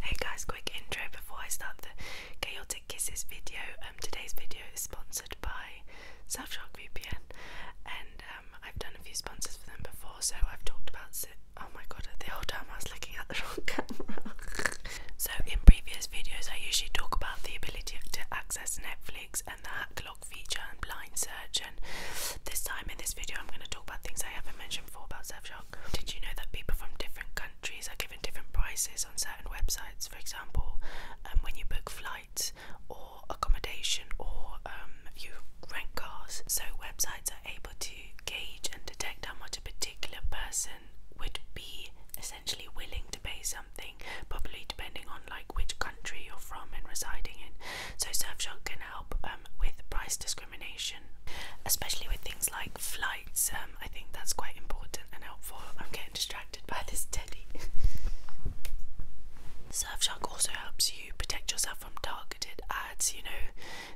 Hey guys, quick intro before I start the chaotic kisses video. Um, today's video is sponsored by Surfshark VPN, and um, I've done a few sponsors for them before, so I've talked about. Oh my god, the whole time I was looking at the wrong camera. so in previous videos, I usually talk about the ability to access Netflix and the hack lock feature and blind search, and this time in this video, I'm going to talk about things I haven't mentioned before about Surfshark. York. Did you know that people from different countries are given different prices on certain websites? For example, um, when you book flights or accommodation or um, you rent cars. So, websites are able to gauge and detect how much a particular person would be essentially willing to pay something, probably depending on like which country you're from and residing in. So, Surfshark can help um, with price description especially with things like flights. Um, I think that's quite important and helpful. I'm getting distracted by this teddy. Surfshark also helps you protect yourself from targeted ads. You know,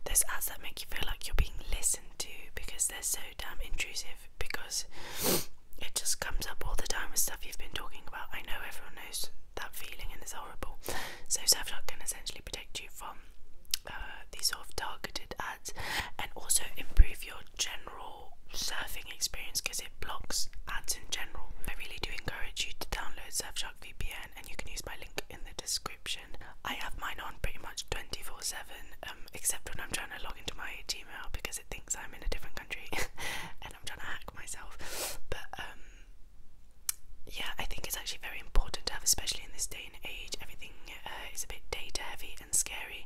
there's ads that make you feel like you're being listened to because they're so damn intrusive. Because it just comes up all the time with stuff you've been talking about. I know everyone knows that feeling and it's horrible. So Surfshark can essentially protect you from uh, these sort of targeted ads and also improve your general surfing experience because it blocks ads in general. I really do encourage you to download Surfshark VPN and you can use my link in the description. I have mine on pretty much 24 7 um, except when I'm trying to log into my email because it thinks I'm in a different country and I'm trying to hack myself. But um, yeah, I think it's actually very important to have, especially in this day age, everything uh, is a bit data heavy and scary.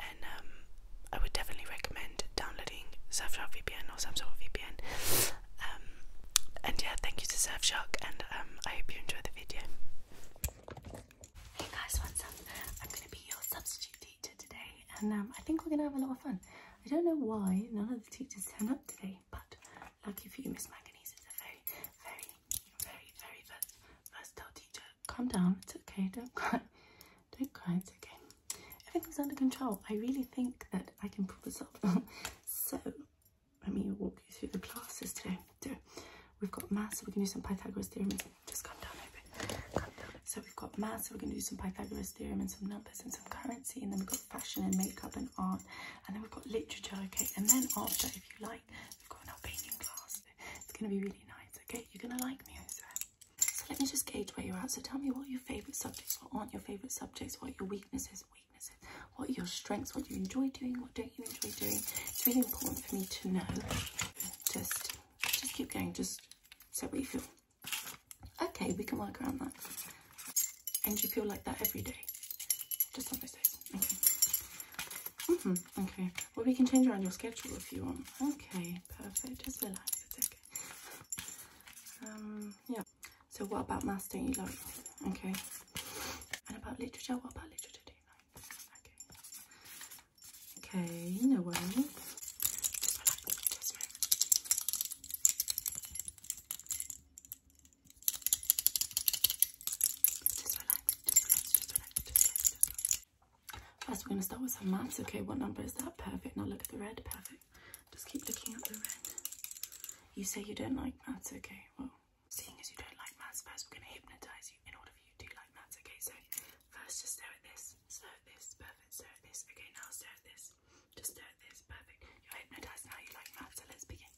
And um, I would definitely recommend downloading Surfshark VPN or some sort of VPN. Um, and yeah, thank you to Surfshark, and um, I hope you enjoy the video. Hey guys, what's up? I'm gonna be your substitute teacher today, and I think we're gonna have a lot of fun. I don't know why none of the teachers turned up today, but Lucky for you, Miss Manganese is a very, very, very, very versatile teacher. Calm down, it's okay, don't cry. Don't cry, it's okay. Everything's under control. I really think that I can pull this off. so, let me walk you through the classes today. So, we've got maths, so we can do some Pythagoras theorem. Just calm down a bit. Calm down. So we've got maths, so we're going to do some Pythagoras theorem and some numbers and some currency. And then we've got fashion and makeup and art. And then we've got literature, okay. And then after, if you like, we've got an art painting class. It's gonna be really nice, okay? You're gonna like me, I swear. So let me just gauge where you're at. So tell me what your favourite subjects, what aren't your favourite subjects, what your weaknesses, weaknesses, what are your strengths, what you enjoy doing, what don't you enjoy doing. It's really important for me to know. Just just keep going, just so what you feel. Okay, we can work around that. And you feel like that every day. Just on those say. Okay. -hmm. Okay. Well, we can change around your schedule if you want. Okay. Perfect. Just relax. It's okay. Um. Yeah. So, what about maths don't you like? Okay. And about literature? What about literature do you like? Okay. No way. First, we're going to start with some maths. Okay, what number is that? Perfect. Now look at the red. Perfect. Just keep looking at the red. You say you don't like maths. Okay, well, seeing as you don't like maths, first we're going to hypnotize you in order for you to like maths. Okay, so first just stare at this. Stare at this. Perfect. Stare at this. Okay, now stare at this. Just stare at this. Perfect. You're hypnotized now. You like maths. So let's begin.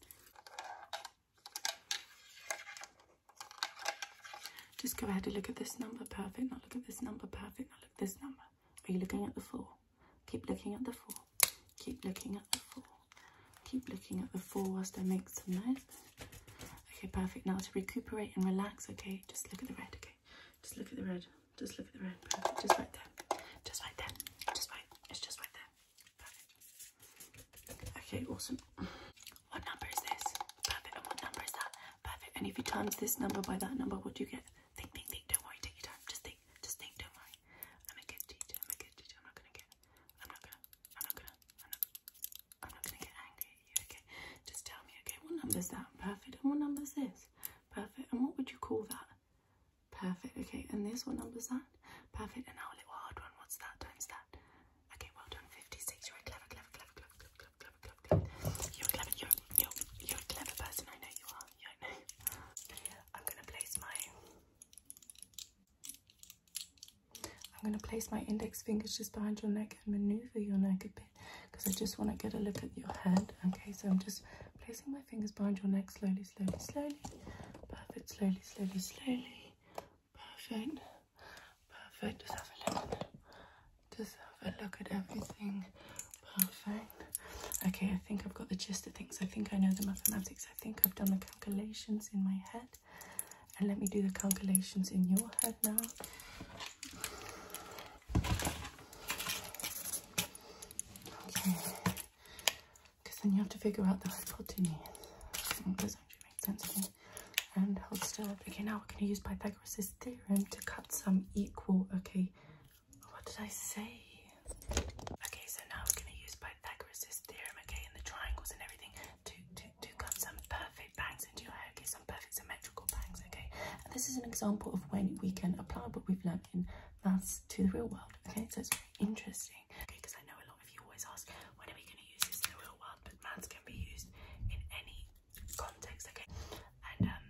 Just go ahead and look at this number, perfect. Now look at this number, perfect. Now look at this number. Are you looking at the four? Keep looking at the four. Keep looking at the four. Keep looking at the four whilst I make some noise. Okay, perfect. Now to recuperate and relax, okay, just look at the red, okay? Just look at the red. Just look at the red. Perfect. Just right there. Just right there. Just right. It's just right there. Okay, awesome. What number is this? Perfect. And what number is that? Perfect. And if you times this number by that number, what do you get? Think, think, think. Don't worry. Take your time. Just think. Just think. Don't worry. I'm a good teacher. I'm I'm not gonna get. I'm not gonna. I'm not gonna. I'm not. gonna get angry Okay. Just tell me. Okay. What number is that? Perfect. And what number is this? Perfect. And what would you call that? Perfect. Okay, and this, what number is that? Perfect. And now a little hard one. What's that times that? Okay, well done. 56. You're clever, clever, clever, clever, clever, clever, clever, clever, clever. You're a clever, you're, you're, you're a clever person. I know you are. You know. I'm going to place my... I'm going to place my index fingers just behind your neck and maneuver your neck a bit because I just want to get a look at your head. Okay, so I'm just placing my fingers behind your neck slowly, slowly, slowly. Perfect, slowly, slowly, slowly. Perfect. Perfect. Just have a look. Just have a look at everything. Perfect. Okay, I think I've got the gist of things. I think I know the mathematics. I think I've done the calculations in my head. And let me do the calculations in your head now. Okay because then you have to figure out the hypotenuse. It does actually make sense And hold still. Okay, now we're going to use Pythagoras' theorem to cut some equal. Okay, what did I say? Okay, so now we're going to use Pythagoras' theorem, okay, and the triangles and everything to, to, to cut some perfect bangs into your hair, okay, some perfect symmetrical bangs, okay? this is an example of when we can apply what we've learned in maths to the real world, okay? So it's very interesting. Okay, because I know a lot of you always ask, when are we going to use this in the real world? But maths can be used in any context, okay? And, um,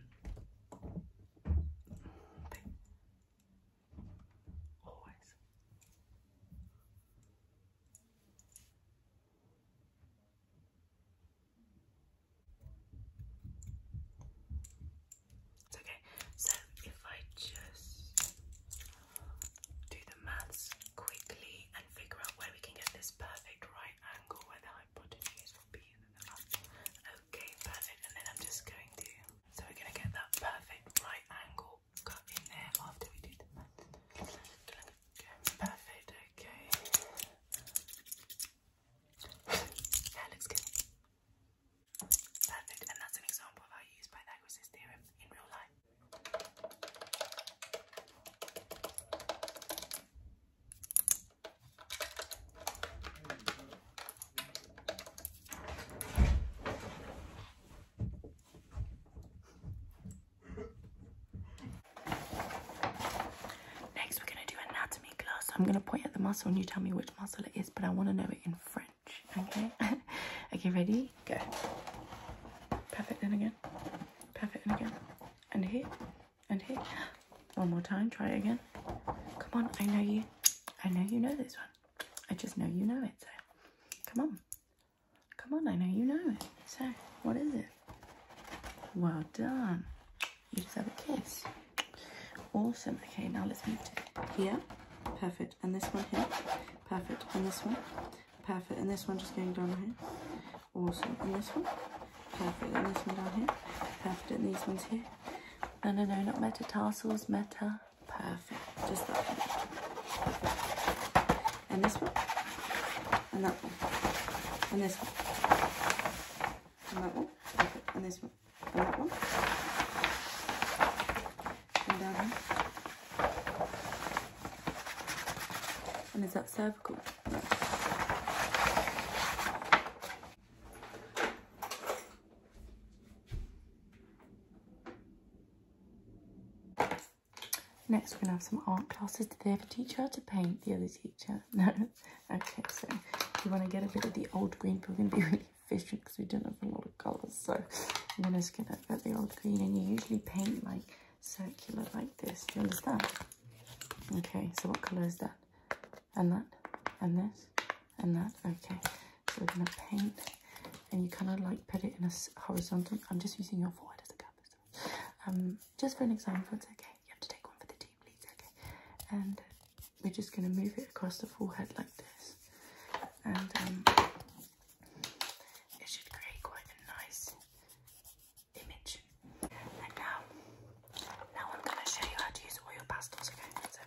okay. So if I just do the maths quickly and figure out where we can get this perfect right angle where the hypotenuse will be Okay, perfect. And then I'm just going to so we're gonna get that perfect right angle cut in there after we do the maths. Okay, perfect, okay. that looks good. Perfect, and that's an example of how you use Pythagoras' theorem in real life. Next, we're going to do anatomy class. I'm going to point at the muscle and you tell me which muscle it is, but I want to know it in French. Okay. okay, ready? Go. Puff it in again. Puff it in again. And here. And here. One more time. Try again. Come on. I know you. I know you know this one. I just know you know it. So come on. Come on. I know you know it. So what is it? Well done. You just have a kiss. Awesome. Okay, now let's move to here. Perfect. And this one here. Perfect on this one. Perfect. And this one just going down here. Awesome. And this one. Perfect. And this one down here. Perfect. And these ones here. No, no, no, not meta metatarsals. Meta. Perfect. Just that one. And this one. And that one. And this one. And that one. And this one. And that one and is that circular? Next, we're going to have some art classes. Did they teacher how to paint, the other teacher? No? Okay, so if you want to get a bit of the old green, probably going fishing because we don't have a lot of colours. So I'm going to skin it at the old green and you usually paint like circular like this. Do you understand? Okay, so what colour is that? And that? And this? And that? Okay, so we're going to paint and you kind of like put it in a horizontal. I'm just using your forehead as a canvas. Um, just for an example, it's okay. You have to take one for the team, please. Okay, and we're just going to move it across the forehead like this and um, it should create quite a nice image. And now, now I'm going to show you how to use oil pastels again. So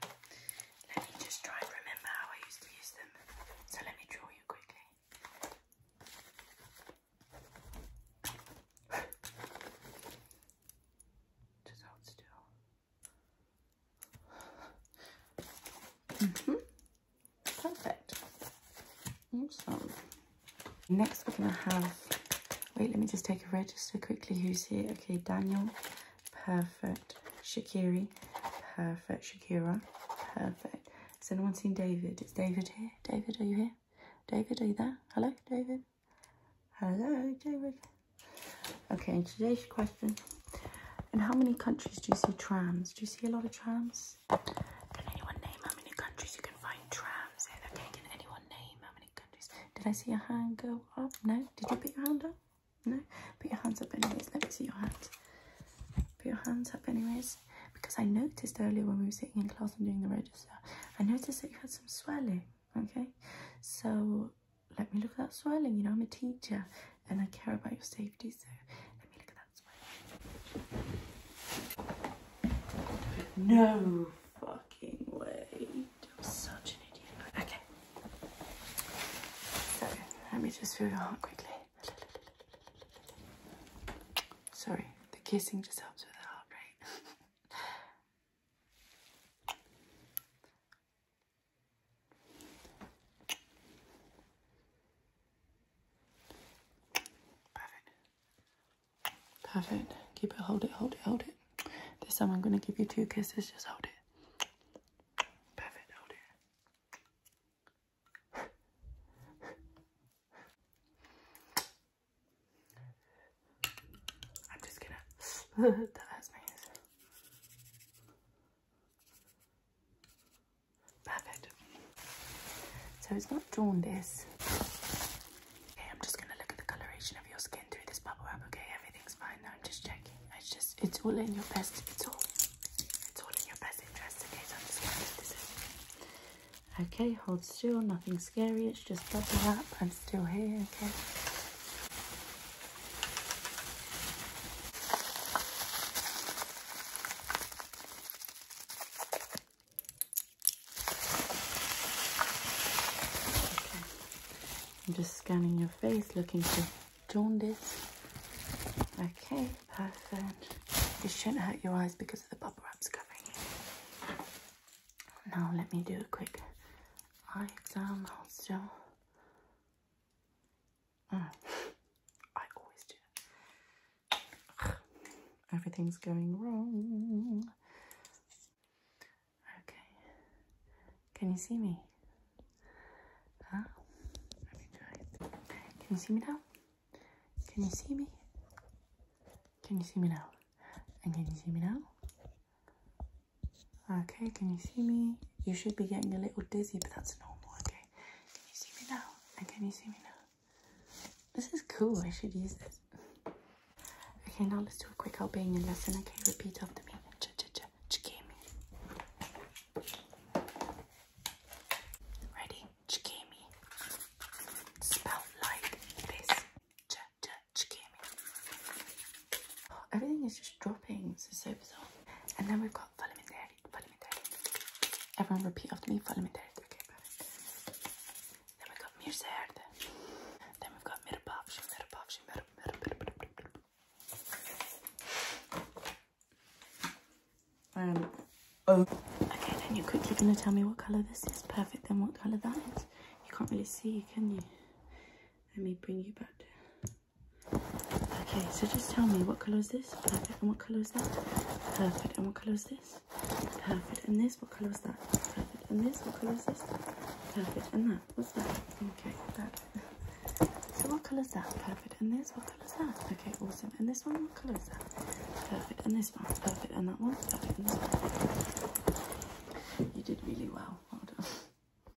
let me just try and remember how I used to use them. So let me draw you quickly. Just hold still. Mm-hmm. Perfect. Awesome. Next we're going to have, wait, let me just take a register quickly who's here. Okay, Daniel, perfect. Shakiri, perfect. Shakira, perfect. Has anyone seen David? Is David here? David, are you here? David, are you there? Hello, David? Hello, David. Okay, today's question. In how many countries do you see trams? Do you see a lot of trams? Can anyone name how many countries you can find trams in? Okay, can anyone name how many countries? Did I see a hand go up? No? Did you put your hand up? No? Put your hands up anyways. Let me see your hands. Put your hands up anyways. Because I noticed earlier when we were sitting in class and doing the register, I noticed that you had some swelling, okay? So let me look at that swirling. You know, I'm a teacher and I care about your safety, so let me look at that swirling. No fucking way. I'm such an idiot. Okay. So, let me just feel your heart quickly. Sorry, the kissing just helps with the heart rate. Perfect. Perfect. Keep it, hold it, hold it, hold it. This time I'm going to give you two kisses. Just hold it. Perfect, hold it. I'm just gonna. that hurts my Perfect. So it's not drawn, this. Okay, I'm just gonna look at the coloration of your skin through this bubble wrap. Okay, everything's fine now. I'm just checking. It's just, it's all in your best. It's all, it's all in your best interest. Okay, so I'm just gonna do this. In. Okay, hold still. Nothing scary. It's just bubble wrap. I'm still here. Okay. I'm just scanning your face looking for jaundice. Okay, perfect. This shouldn't hurt your eyes because of the bubble wraps covering it. Now let me do a quick eye exam. Hold still. Mm. I always do. Everything's going wrong. Okay. Can you see me? Huh? Let me try Can you see me now? Can you see me? Can you see me now? And can you see me now? Okay, can you see me? You should be getting a little dizzy, but that's normal, okay? Can you see me now? And can you see me now? This is cool, I should use this. Okay, now let's do a quick Albanian lesson, okay? Repeat after me. Ch -ch -ch Chikemi. Ready? Chikemi. Spelled like this. Ch -ch Chikemi. Everything is just dropping. This is so bizarre. And then we've got follow me daddy, follow me daddy. Everyone repeat after me, follow me daddy. Okay, perfect. Then we've got Mirzard. Then we've got Mirabavshi, Mirabavshi, Mirabavshi. Um, oh. Okay, then you're quickly going to tell me what colour this is. Perfect, then what colour that is. You can't really see, can you? Let me bring you back to Okay, so just tell me what colour is this? Perfect. And what colour is that? Perfect. And what colour is this? Perfect. And this? What colour is that? Perfect. And this? What colour is this? Perfect. And that? What's that? Okay, So what colour is that? Perfect. And this? What colour is that? Okay, awesome. And this one? What colour is that? Perfect. And this one? Perfect. And that one? Perfect. You did really well. Well